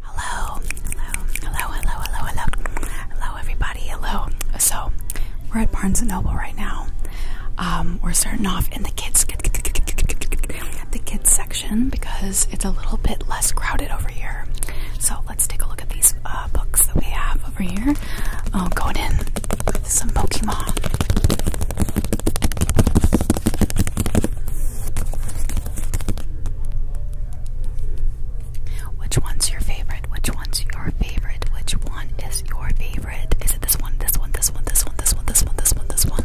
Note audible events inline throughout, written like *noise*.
Hello, hello, hello, hello, hello, hello, everybody. Hello. So, we're at Barnes and Noble right now. Um, we're starting off in the kids, the kids section because it's a little bit less crowded over here. So let's take a look at these uh, books that we have over here. Oh, going in with some Pokemon. Which one's your favorite? Which one's your favorite? Which one is your favorite? Is it this one? This one? This one? This one? This one? This one? This one? This one?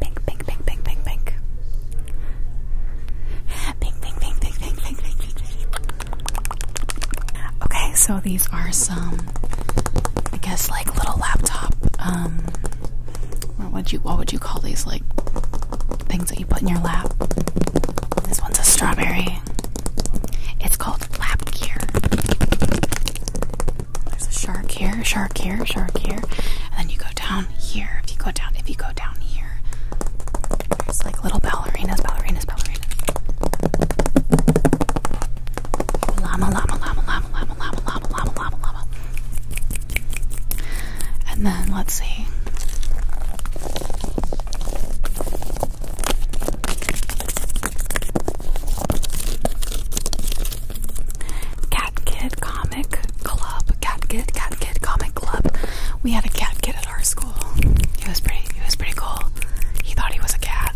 Pink, pink, pink, pink, pink, pink. Pink, pink, pink, pink, pink, pink, pink, pink. Okay, so these are some, I guess, like little laptop. Um, what would you, what would you call these? Like things that you put in your lap. This one's a strawberry. It's called lap gear. There's a shark here, shark here, shark here. And then you go down here. If you go down, if you go down here, there's like little ballerinas, ballerinas, ballerinas. Llama, llama, llama, llama, llama, llama, llama, llama, llama, llama. And then let's see. Cat Kid Comic Club. Cat Kid, Cat Kid Comic Club. We had a cat kid at our school. He was pretty. He was pretty cool. He thought he was a cat.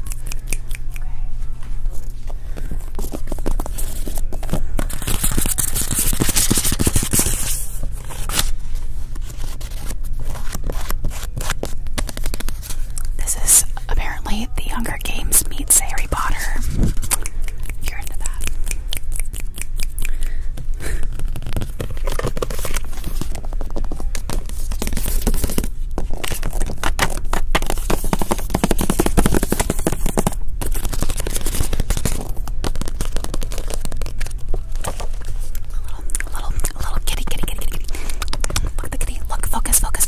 This is apparently the Hunger Games meets Harry Potter. You're into that. little, little, little kitty, kitty, kitty, kitty. Look the kitty. Look, focus, focus,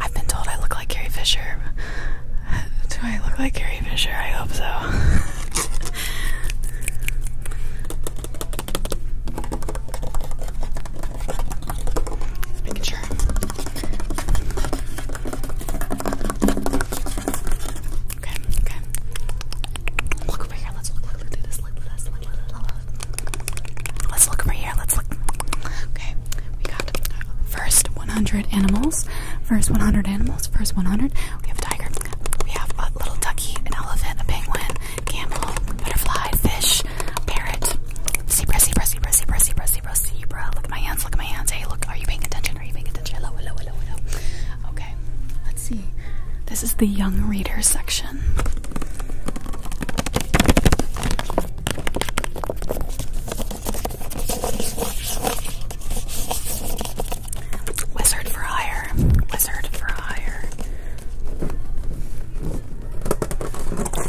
I've been told I look like Carrie Fisher. *laughs* Do I look like Carrie Fisher? I hope so. *laughs* Just sure. Okay, okay. Look over here. Let's look, look, look through this. Look, look, look, Let's look over here. Let's look. Okay, we got first 100 animals. First 100 animals. First 100. We have a tiger. We have a little ducky, an elephant, a penguin, camel, butterfly, fish, parrot, zebra, zebra, zebra, zebra, zebra, zebra, zebra. Look at my hands. Look at my hands. Hey, look. Are you paying attention? Are you paying attention? Hello, hello, hello, hello. Okay, let's see. This is the young reader section. Wizard for hire. Wizard for hire.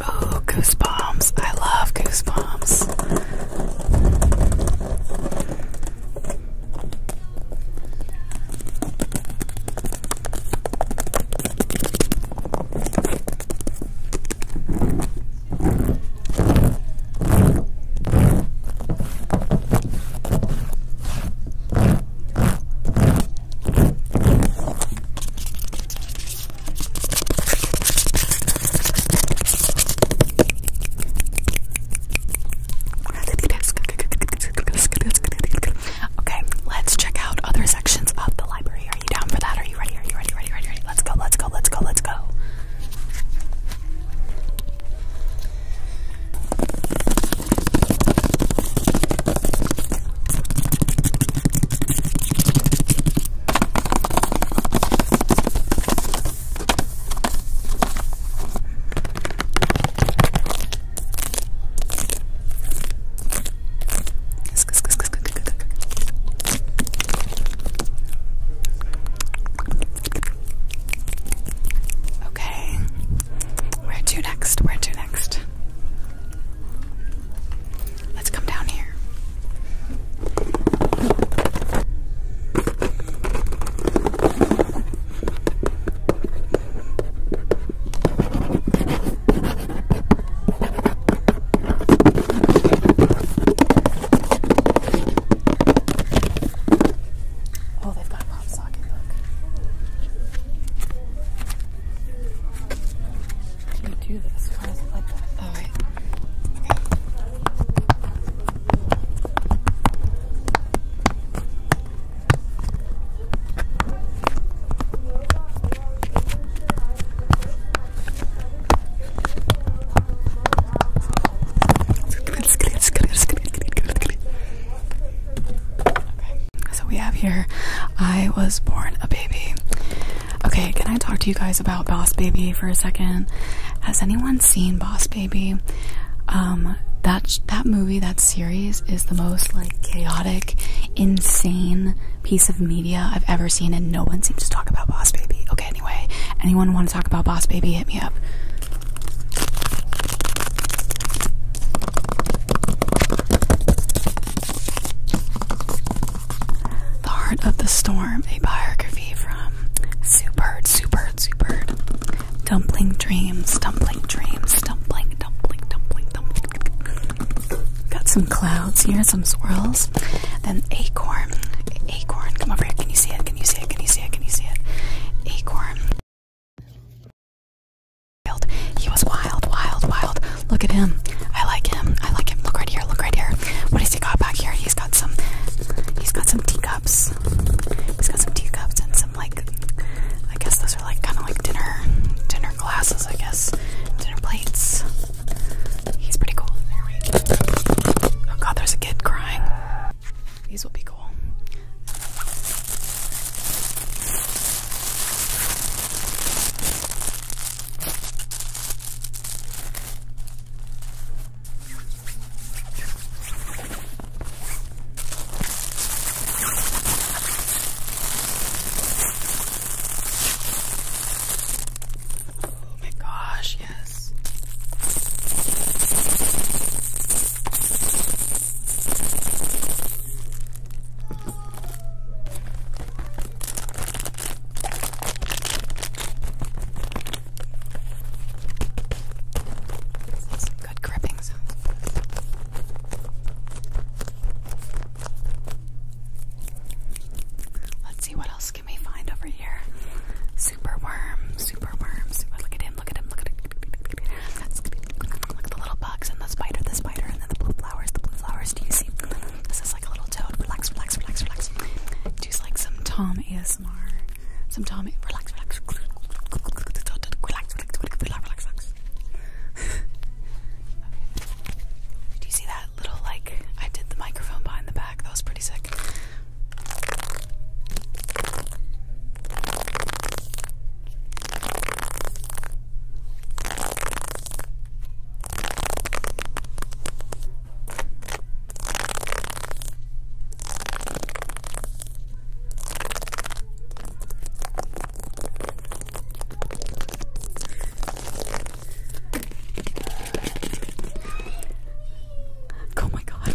Oh, goosebumps. I love goosebumps. Okay, let's check out other sections of the library. Are you down for that? Are you ready? Are you ready? Ready? Ready? Ready? Let's go! Let's go! Let's go! Let's go! Okay. Where to next? Where to next? Let's come down here. Oh, they've got a pop socket, look. Can you do this? Why is it like that? All right. Okay. So we have here I was born a baby. Okay, can I talk to you guys about Boss Baby for a second? Has anyone seen Boss Baby? Um that that movie, that series is the most like chaotic, insane piece of media I've ever seen, and no one seems to talk about Boss Baby. Okay, anyway, anyone want to talk about Boss Baby? Hit me up. The Heart of the Storm, a biography from Super, Super, Super. Dumpling dreams, dumpling dreams, dumpling, dumpling, dumpling, dumpling. Got some clouds here, some swirls. Then acorn, acorn. Come over here. Can you see it? Can you see it? Can you see it? Can you see it? Acorn. Wild. He was wild, wild, wild. Look at him. I like him. I like him. Look right here. Look right here. What has he got back here? He's got some. He's got some teacups. He's got some teacups and some like I guess those are like kind of like dinner dinner glasses, I guess. Dinner plates. He's pretty cool. Oh god, there's a kid crying. These will be cool. Oh my gosh, yes. Some good gripping sounds fun. Let's see what else can we find over here. Super worm, super worm, super look at him, look at him, look at him. That's look at the little bugs and the spider, the spider, and then the blue flowers, the blue flowers. Do you see? This is like a little toad. Relax, relax, relax, relax. Do like some Tom ASMR some Tommy. Relax, relax. Relax, relax, relax, relax. okay. Do you see that little like I did the microphone behind the back? That was pretty sick. Oh my god.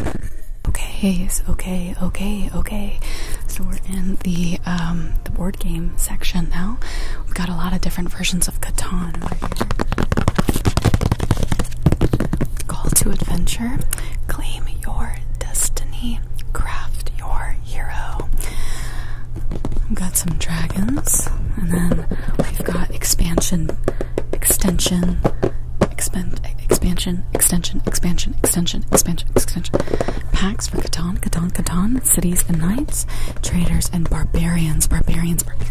okay, okay, okay, okay. So we're in the um, the board game section now. We've got a lot of different versions of Catan Call to Adventure. Claim your destiny, craft your hero. We've got some dragons, and then we've got expansion, extension, expand, expansion, extension, expansion, extension, expansion, extension. Packs for Catan, Catan, Catan, cities and knights, traders and barbarians, barbarians, barbarians.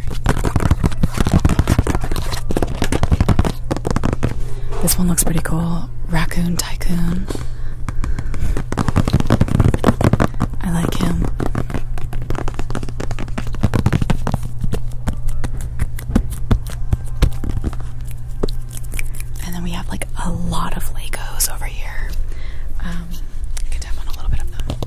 This one looks pretty cool. Raccoon Tycoon. I like him. And then we have like a lot of Legos over here. Um, I on a little bit of them.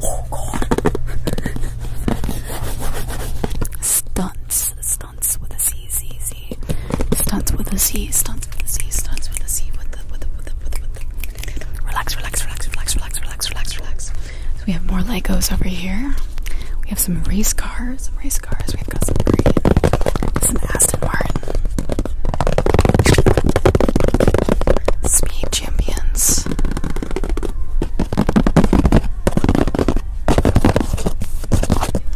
Oh god. Stunts. Stunts with a C, Z, Z. Stunts with a C, stunts with a C, stunts with a C, with the, with the, with the, with the, with the. Relax, relax, relax, relax, relax, relax, relax, relax. So we have more Legos over here. We have some race cars, some race cars. We've got some green, some Aston Martin. Speed champions.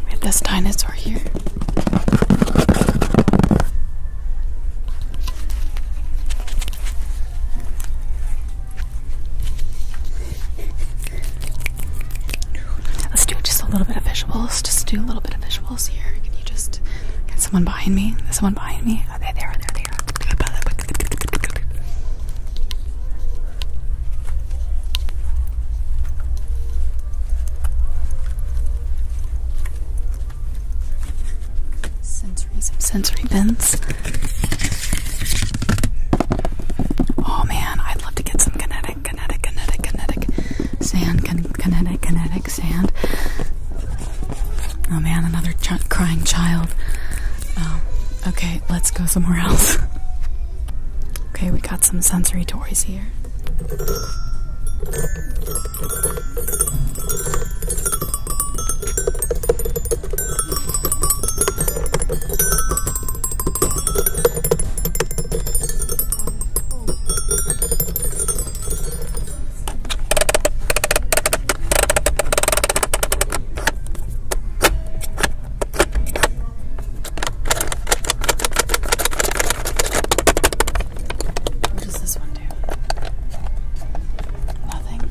We have this dinosaur here. Let's do just a little bit of visuals. Just do a little bit of visuals. Can you just? get someone behind me? Is someone behind me? Oh, they are. There they Sensory, sensory bins. Oh man, I'd love to get some kinetic kinetic, kinetic, kinetic sand, kin kinetic, kinetic sand. Oh man, another crying child. Um, okay, let's go somewhere else. *laughs* okay, we got some sensory toys here. What does this one do? Nothing.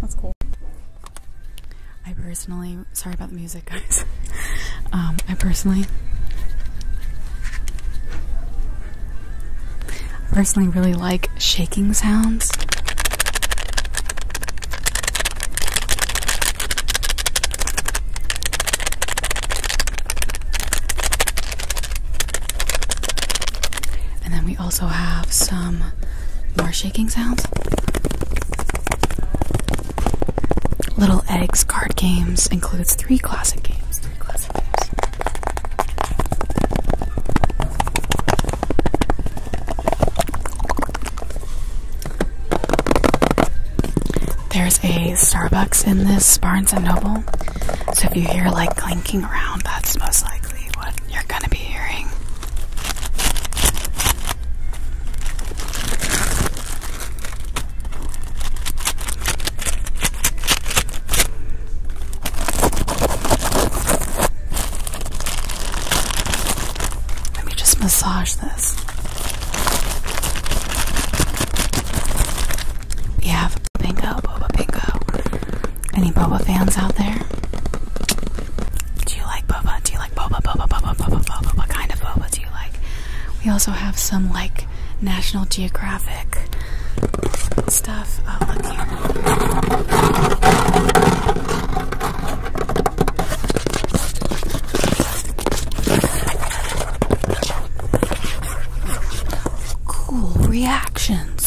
That's cool. I personally, sorry about the music, guys. *laughs* Um, I personally, personally really like shaking sounds. And then we also have some more shaking sounds. Little Eggs card games includes three classic games. Three classic games. There's a Starbucks in this Barnes and Noble, so if you hear like clinking around, that's most likely what you're gonna be hearing. Let me just massage this. We bingo, bingo. Any boba fans out there? Do you like boba? Do you like boba, boba, boba, boba, boba? What kind of boba do you like? We also have some like National Geographic stuff. Oh, look here. Cool reactions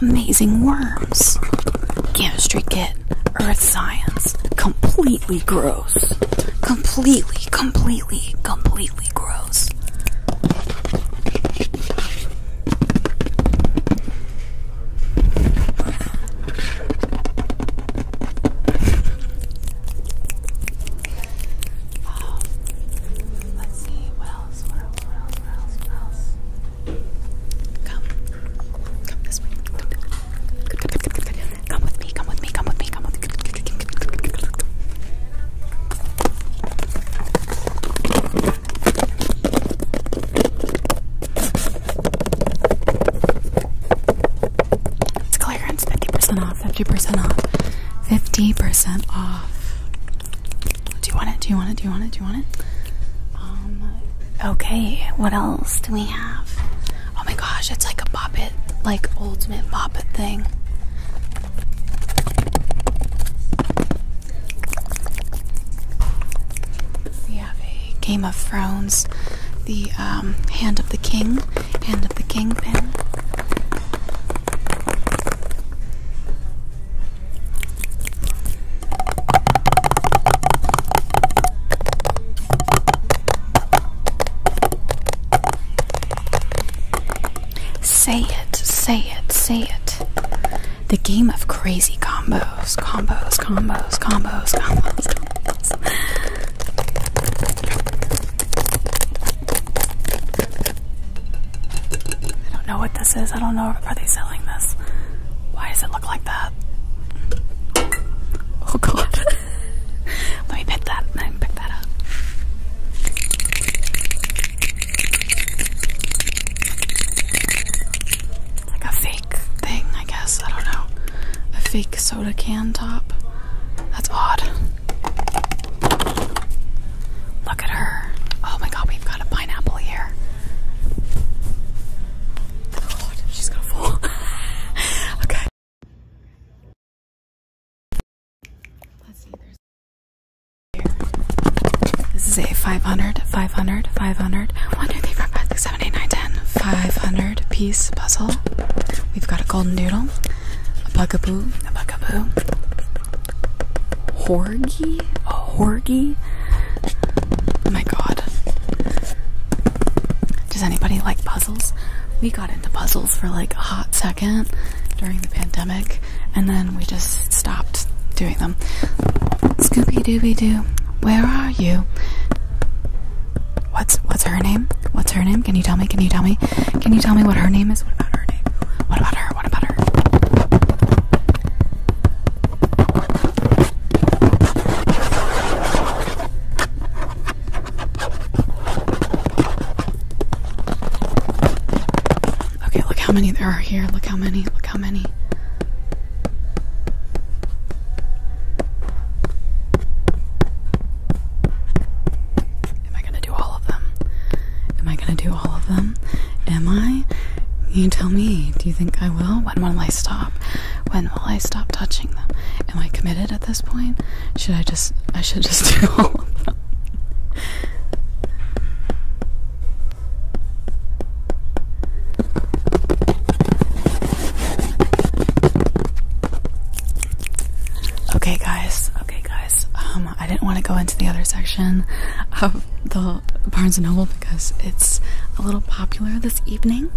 amazing worms. Chemistry kit, earth science, completely gross. Completely, completely, completely gross. let's see, Come. Come this way. Come with me, come with me, come with me, come with me. It's clearance, 50% off, 50% off, 50% off. Do you want it? Do you want it? Do you want it? Do you want it? Um, okay, what else do we have? Oh my gosh, it's like a Bobbit, like ultimate Bobbit thing. We have a Game of Thrones, the um, Hand of the King, Hand of the King pin. Say it, say it, say it. The game of crazy combos, combos, combos, combos, combos. combos. I don't know what this is. I don't know. Are they selling this? Why does it look like that? Oh god. *laughs* Let me pick that and pick that up. Like a fake thing, I guess. I don't know. A fake soda can top. That's odd. Look at her. Oh my god, we've got a pineapple here. God, she's gonna fall. *laughs* okay. Let's see, there's here. This is a 500, 500, 500, 1, 3, 5, 7, 8, 9, 10, 500 piece puzzle. We've got a golden noodle. a bugaboo, a bugaboo, Horgy? Horgy? Oh my god. Does anybody like puzzles? We got into puzzles for like a hot second during the pandemic and then we just stopped doing them. Scooby Dooby Doo, where are you? What's what's her name? What's her name? Can you tell me? Can you tell me? Can you tell me what her name is? What about her name? What about her? her? What about her? Okay, look how many there are here. Look how many. Look how many. Am I gonna do all of them? Am I gonna do all of them? Am I? You tell me. Do you think I will? When will I stop? When will I stop touching them? Am I committed at this point? Should I just I should just *laughs* do all of them? Okay guys, okay guys. Um I didn't want to go into the other section of the Barnes and Noble because it's a little popular this evening.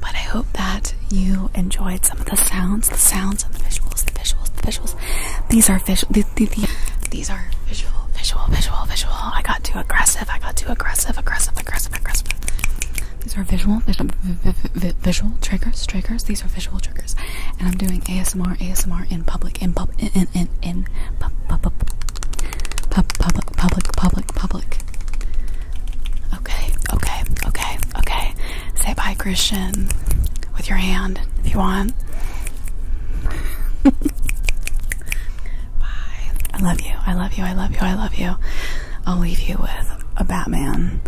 But I hope that you enjoyed some of the sounds, the sounds and the visuals, the visuals, the visuals. These are visual. The, the, these are visual, visual, visual, visual. I got too aggressive. I got too aggressive, aggressive, aggressive, aggressive. These are visual, visual, visual triggers, triggers. These these are visual triggers, and I'm doing ASMR, ASMR in public, in pub, in in in, pub, pub, pub, pub, public, public, public, public. Okay, okay, okay, okay. Say bye, Christian, with your hand if you want. *laughs* bye. I love you. I love you. I love you. I love you. I'll leave you with a Batman.